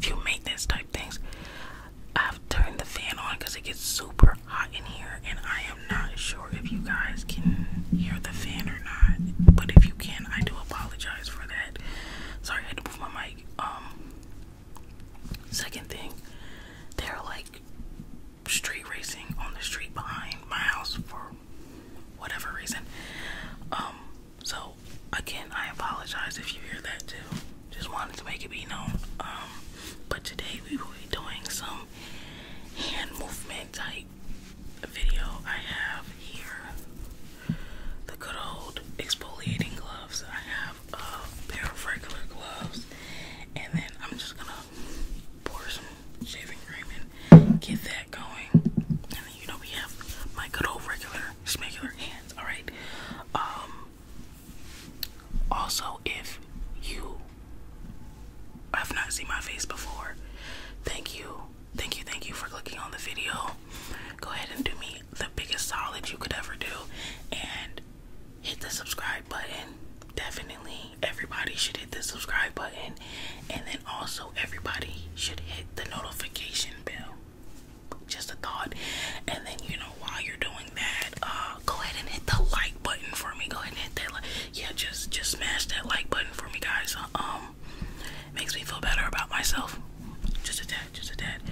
few maintenance type things. I've turned the fan on because it gets super hot in here, and I am not sure if you guys can hear the fan or not. But if you can, I do apologize for that. Sorry, I had to move my mic. Um, second thing, they're like street racing on the street behind my house for whatever reason. Um, so again, I apologize if you hear that too. Just wanted to make it be known. Um, but today we will be doing some hand movement type video. I have here the good old exfoliating gloves. I have a uh, pair of regular gloves, and then I'm just gonna pour some shaving cream and get that going. And then you know we have my good old regular smegular hand all right. Um, also, if you have not seen my face before, thank you, thank you, thank you for clicking on the video. Go ahead and do me the biggest solid you could ever do and hit the subscribe button. Definitely, everybody should hit the subscribe button, and then also, everybody should hit the notification bell. Just a thought. And then you know while you're doing that, uh, go ahead and hit the like button for me. Go ahead and hit that like. Yeah, just just smash that like button for me, guys. Uh, um, makes me feel better about myself. Just a tad, just a tad.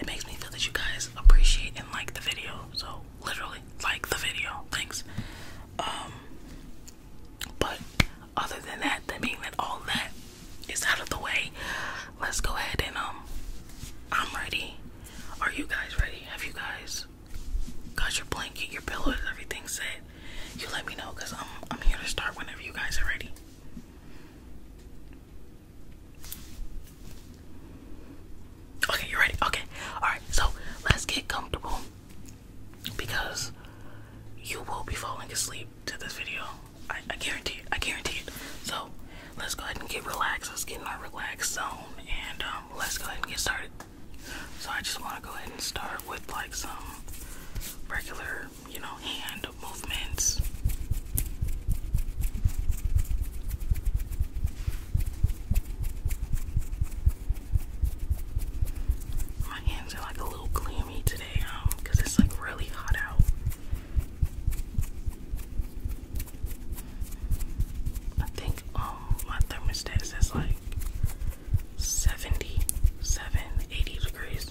It makes me feel that you guys appreciate and like the video. So literally like the video. Thanks. Um, but other than that, that being that all that it's out of the way. Let's go ahead and um I'm ready. Are you guys ready? Have you guys got your blanket, your pillows, everything set? You let me know because I'm I'm here to start whenever you guys are ready. Okay, you're ready. Okay. Alright, so let's get comfortable because you will be falling asleep to this video. I, guarantee it. I guarantee it. So let's go ahead and get relaxed. Let's get in our relaxed zone and um, let's go ahead and get started. So I just want to go ahead and start with like some regular, you know, hand movements. My hands are like a little clammy today, um, because it's like really hot out. I think um my thermostat says like 77, 80 degrees.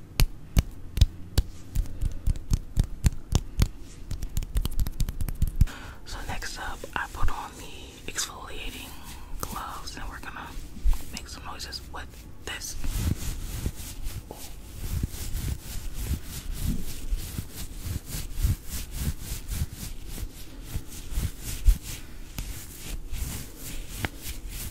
So next up, I put on the exfoliating gloves and we're gonna make some noises with this.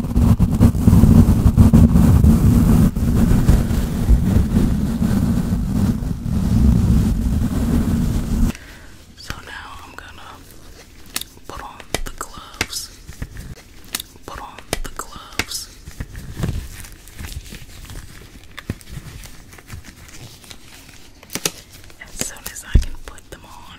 So now I'm gonna put on the gloves. Put on the gloves. As soon as I can put them on,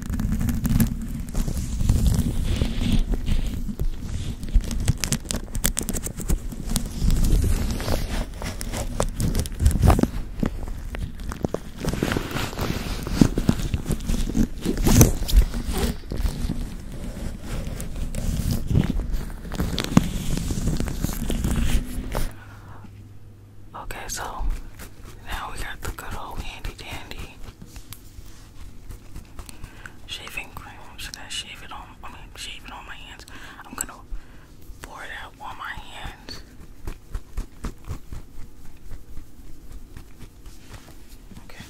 Okay, so now we got the good old handy dandy Shaving cream. I'm gonna shave it on. I mean, shave it on my hands. I'm gonna pour it out on my hands. Okay.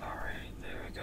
Alright, there we go.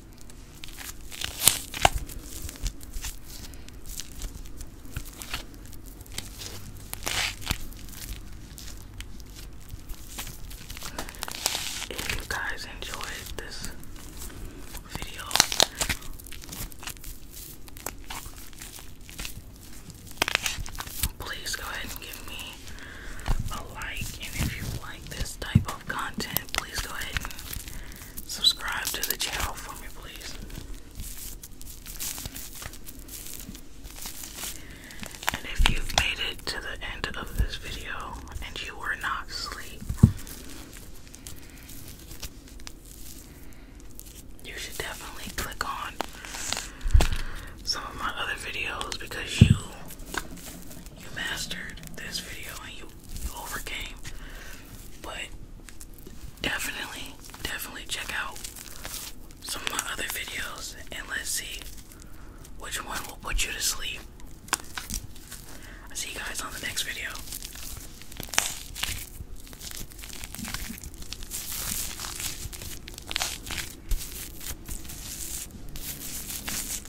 If you guys enjoyed this video, please go ahead and give me a like. And if you like this type content, please go ahead and subscribe to the channel for me, please. And if you've made it to the end of this video and you were not asleep, you should definitely click on some of my other videos because you you mastered this video and you, you overcame. But definitely, definitely check out some of my other videos and let's see which one will put you to sleep. I'll see you guys on the next video.